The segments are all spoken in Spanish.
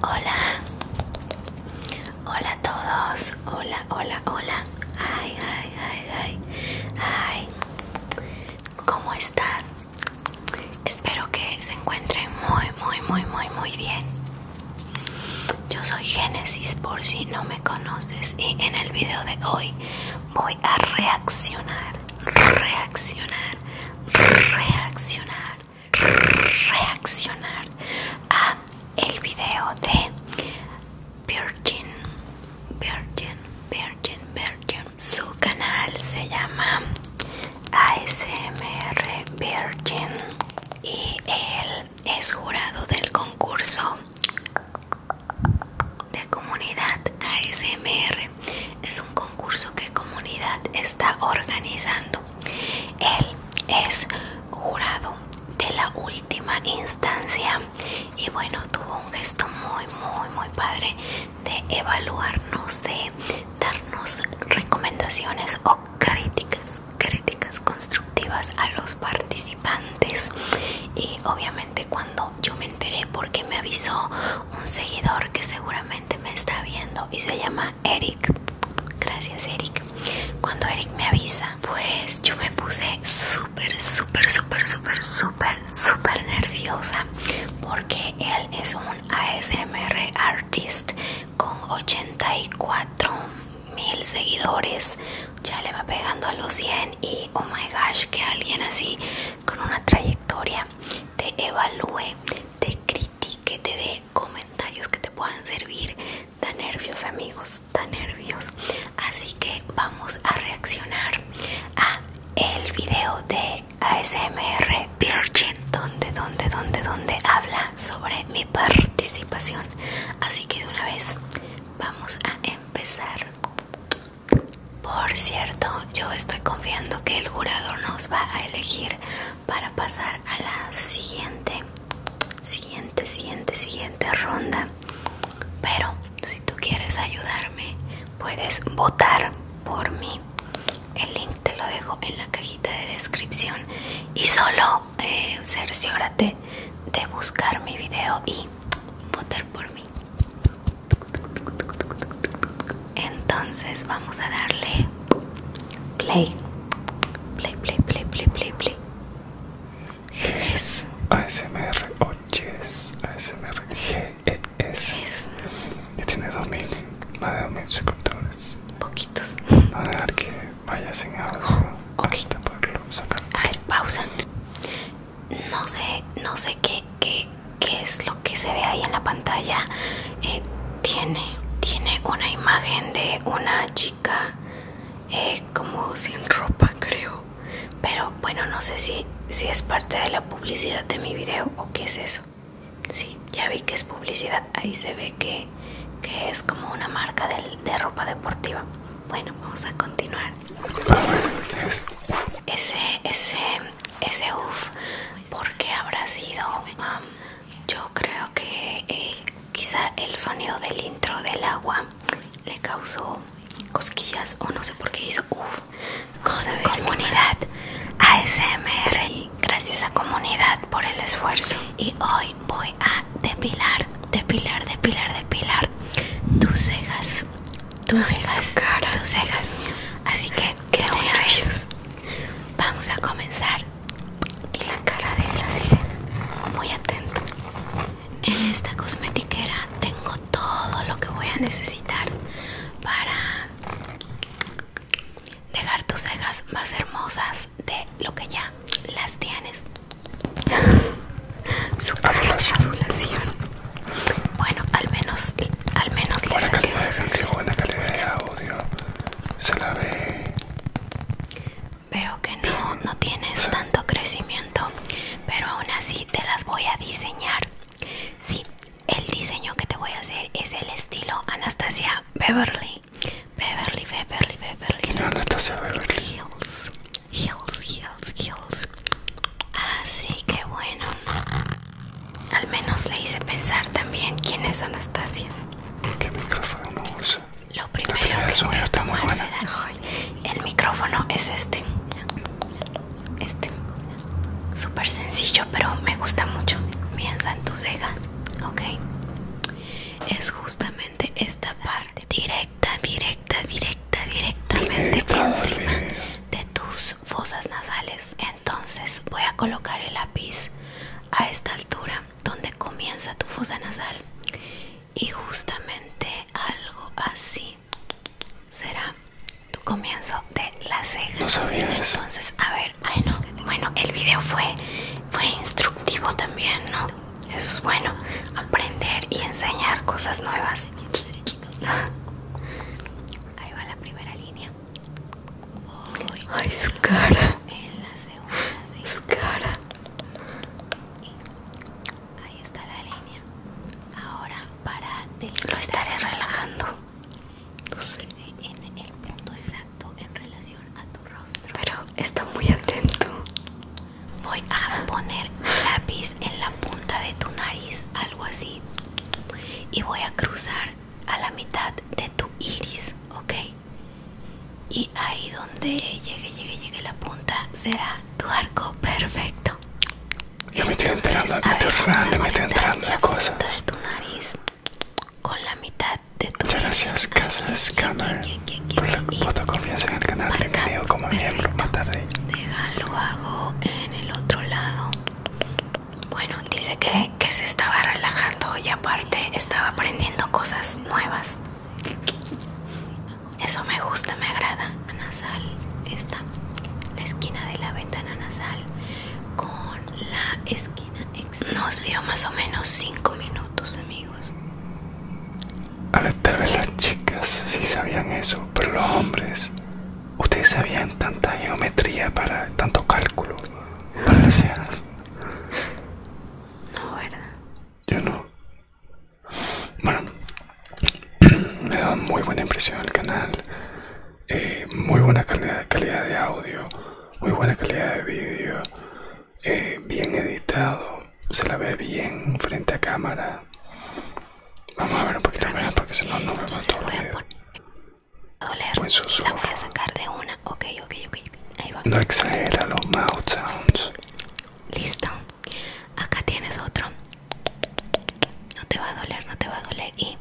Hola, hola a todos, hola, hola, hola, ay, ay, ay, ay, ay, ¿cómo están? Espero que se encuentren muy, muy, muy, muy, muy bien. Yo soy Génesis por si no me conoces y en el video de hoy voy a reaccionar, reaccionar, reaccionar, reaccionar a el video de Virgin, Virgin, Virgin, Virgin. Su canal se llama ASMR Virgin y él es jurado del concurso de comunidad ASMR. Es un concurso que comunidad está organizando. Él es jurado de la última instancia y bueno, tuvo un gesto muy, muy, muy padre de evaluarnos, de darnos recomendaciones o críticas críticas constructivas a los participantes y obviamente cuando yo me enteré porque me avisó un seguidor que seguramente me está viendo y se llama Eric gracias Eric cuando Eric me avisa pues yo me puse súper súper súper súper súper súper nerviosa porque él es un ASMR artist con 84 mil seguidores ya le va pegando a los 100 y oh my gosh que alguien así con una trayectoria te evalúe te critique te dé comentarios que te puedan servir da nervios amigos da nervios así que vamos a reaccionar a el video de ASMR Virgin donde donde donde donde habla sobre mi participación. Así que de una vez vamos a empezar. Por cierto, yo estoy confiando que el jurado nos va a elegir para pasar a la siguiente, siguiente, siguiente, siguiente ronda. Pero si tú quieres ayudarme, puedes votar por mí. El link te lo dejo en la cajita de descripción y solo cerciórate de buscar mi video y votar por mí. Entonces vamos a darle play. Play, play, play, play, play, play. Es ASMR, M R ASMR, GES. Yes. tiene 2000, más de 2000 suscriptores. Poquitos. que Vaya sin algo okay. A ver, pausa. No sé, no sé qué, qué, es lo que se ve ahí en la pantalla. Eh, tiene, tiene una imagen de una chica eh, como sin ropa, creo. Pero bueno, no sé si, si es parte de la publicidad de mi video o qué es eso. Sí, ya vi que es publicidad. Ahí se ve que que, es como una marca de, ropa deportiva. Bueno, vamos a continuar. Ese, ese, ese uff, porque habrá sido, um, yo creo que eh, quizá el sonido del intro del agua le causó cosquillas o no sé por qué hizo uff. Comunidad ASMR, gracias a comunidad por el esfuerzo. Y hoy voy a depilar, depilar, depilar, depilar tus cejas, tus cejas, tus cejas. Así que qué una vamos a comenzar. la cara de la sirena, muy atento. En esta cosmetiquera tengo todo lo que voy a necesitar para dejar tus cejas más hermosas de lo que ya las tienes. Su adulación. Bueno, al menos, al menos buena calidad audio. Se la ve. Veo que no, no tienes tanto crecimiento, pero aún así te las voy a diseñar. Sí, el diseño que te voy a hacer es el estilo Anastasia Beverly. Beverly, Beverly, Beverly. ¿Quién es Anastasia Beverly. Hills, Hills, Hills, Hills. Así que bueno, al menos le hice pensar también quién es Anastasia. ¿Qué micrófono usa? Lo primero que voy el micrófono es este. Este. Súper sencillo, pero me gusta mucho. Piensa en tus cejas, ok es justamente esta parte directa, directa, directa, directamente encima de tus fosas nasales. Entonces voy a colocar el lápiz a esta altura donde comienza tu fosa nasal y justamente algo así será tu comienzo de la ceja. Entonces, a ver, bueno, el video fue, fue instructivo también, ¿no? Eso es bueno, aprender y enseñar cosas nuevas. Ahí va la primera línea. Ay, su cara. En la segunda, Su cara. Ahí está la línea. Ahora para ti. Lo estaré relajando. No sé. En el punto en relación a tu rostro. Pero está muy atento. Voy a poner lápiz en la punta de tu nariz, algo así. Y voy a cruzar a la mitad de tu iris, ¿ok? Y ahí donde llegue, llegue, llegue la punta será tu arco perfecto. Le me entrando, la cosa. De tu nariz con la mitad Muchas gracias Casa Scammer por la confianza en el canal. Bienvenido como miembro más tarde. lo hago en el otro lado. Bueno, dice que, se estaba relajando y aparte estaba aprendiendo cosas nuevas. Eso me gusta, me agrada. Nasal, esta, la esquina de la ventana nasal con la esquina nos vio más o menos 5 minutos, amigos. A ver, tal las chicas sí sabían eso, pero los hombres, ustedes sabían tanta geometría para tanto cálculo para las No, ¿verdad? Yo no. Bueno, me da muy buena impresión el canal, eh, muy buena calidad de audio muy buena calidad de video eh, bien editado, se la ve bien frente a cámara. Vamos a ver un poquito más porque si no, no me va el La voy a sacar de una. No exagera los mouth sounds. Listo. Acá tienes otro. No te va a doler, no te va a doler. Y.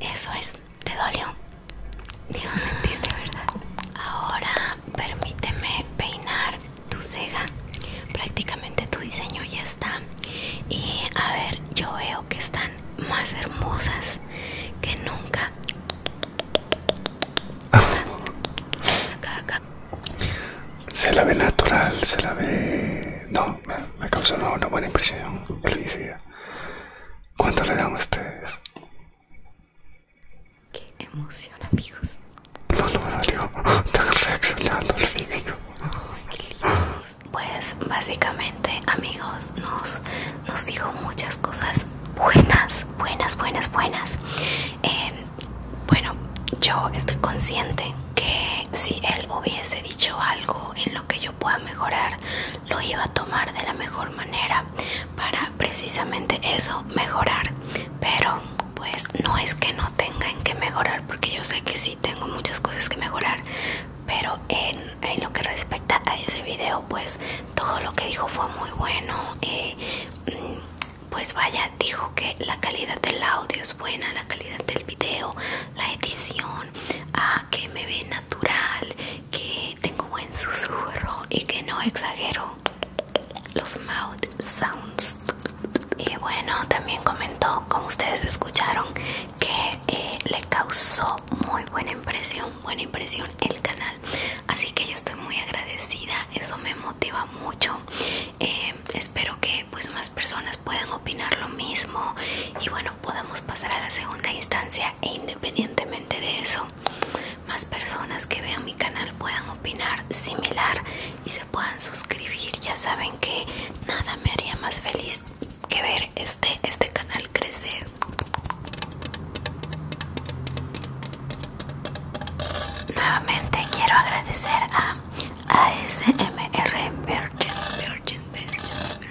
Eso es. ¿Te dolió? ¿Te lo sentiste, ¿verdad? Ahora permíteme peinar tu ceja. Prácticamente tu diseño ya está. Y a ver, yo veo que están más hermosas que nunca. Se la ve natural, se la ve... No, me, me causó una, buena impresión. ¿Cuánto le dan ustedes? Qué emoción, amigos. No, no me dolió. estás reaccionando al Pues básicamente, amigos, nos, nos dijo muchas cosas buenas, buenas, buenas, buenas. Em, bueno, yo estoy consciente que si él hubiese dicho algo en lo que yo pueda mejorar, lo iba a tomar de la mejor manera para precisamente eso mejorar pero pues no es que no tengan que mejorar porque yo sé que sí tengo muchas cosas que mejorar pero en, lo que respecta a ese video pues todo lo que dijo fue muy bueno eh, mm, pues vaya dijo que la calidad del audio es buena la calidad del video la edición ah, que me ve natural que tengo buen susurro y que no exagero los mouth sounds y bueno también comentó como ustedes escucharon que eh, le causó muy buena impresión buena impresión el canal así que yo estoy muy agradecida eso me motiva mucho eh, espero que pues más personas puedan opinar lo mismo y bueno podamos pasar a la segunda instancia e independientemente de eso más personas que vean mi canal puedan opinar similar y se puedan suscribir ya saben que nada me haría más feliz que ver este este canal crecer nuevamente quiero agradecer a ASMR Virgin Virgin Virgin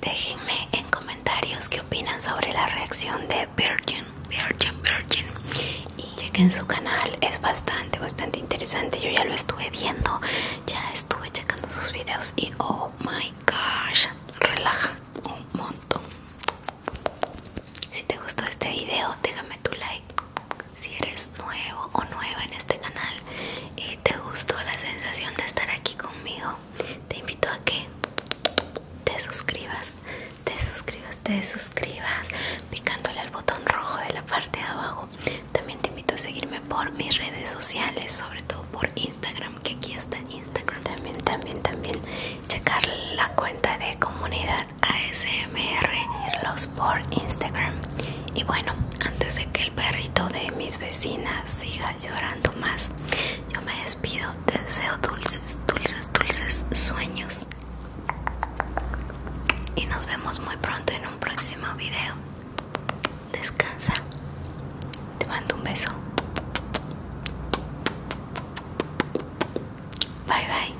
Déjenme en comentarios qué opinan sobre la reacción de Virgin, Virgin, Virgin. Y chequen su canal, es bastante, bastante interesante. Yo ya lo estuve viendo, ya estuve checando sus videos y oh my gosh, relaja un montón. Si te gustó este video, déjame tu like. Si eres nuevo o nueva en este canal y te gustó la sensación de estar aquí conmigo, te invito a que te suscribas, te suscribas, te suscribas, picándole al botón rojo de la parte de abajo. También te invito a seguirme por mis redes sociales, sobre todo por Instagram, que aquí está Instagram. También, también, también checar la cuenta de comunidad ASMR, los por Instagram. Y bueno, antes de que el perrito de mis vecinas siga llorando más. Yo me despido, te deseo dulces, dulces, dulces sueños. Y nos vemos muy pronto en un próximo video. Descansa. Te mando un beso. Bye bye.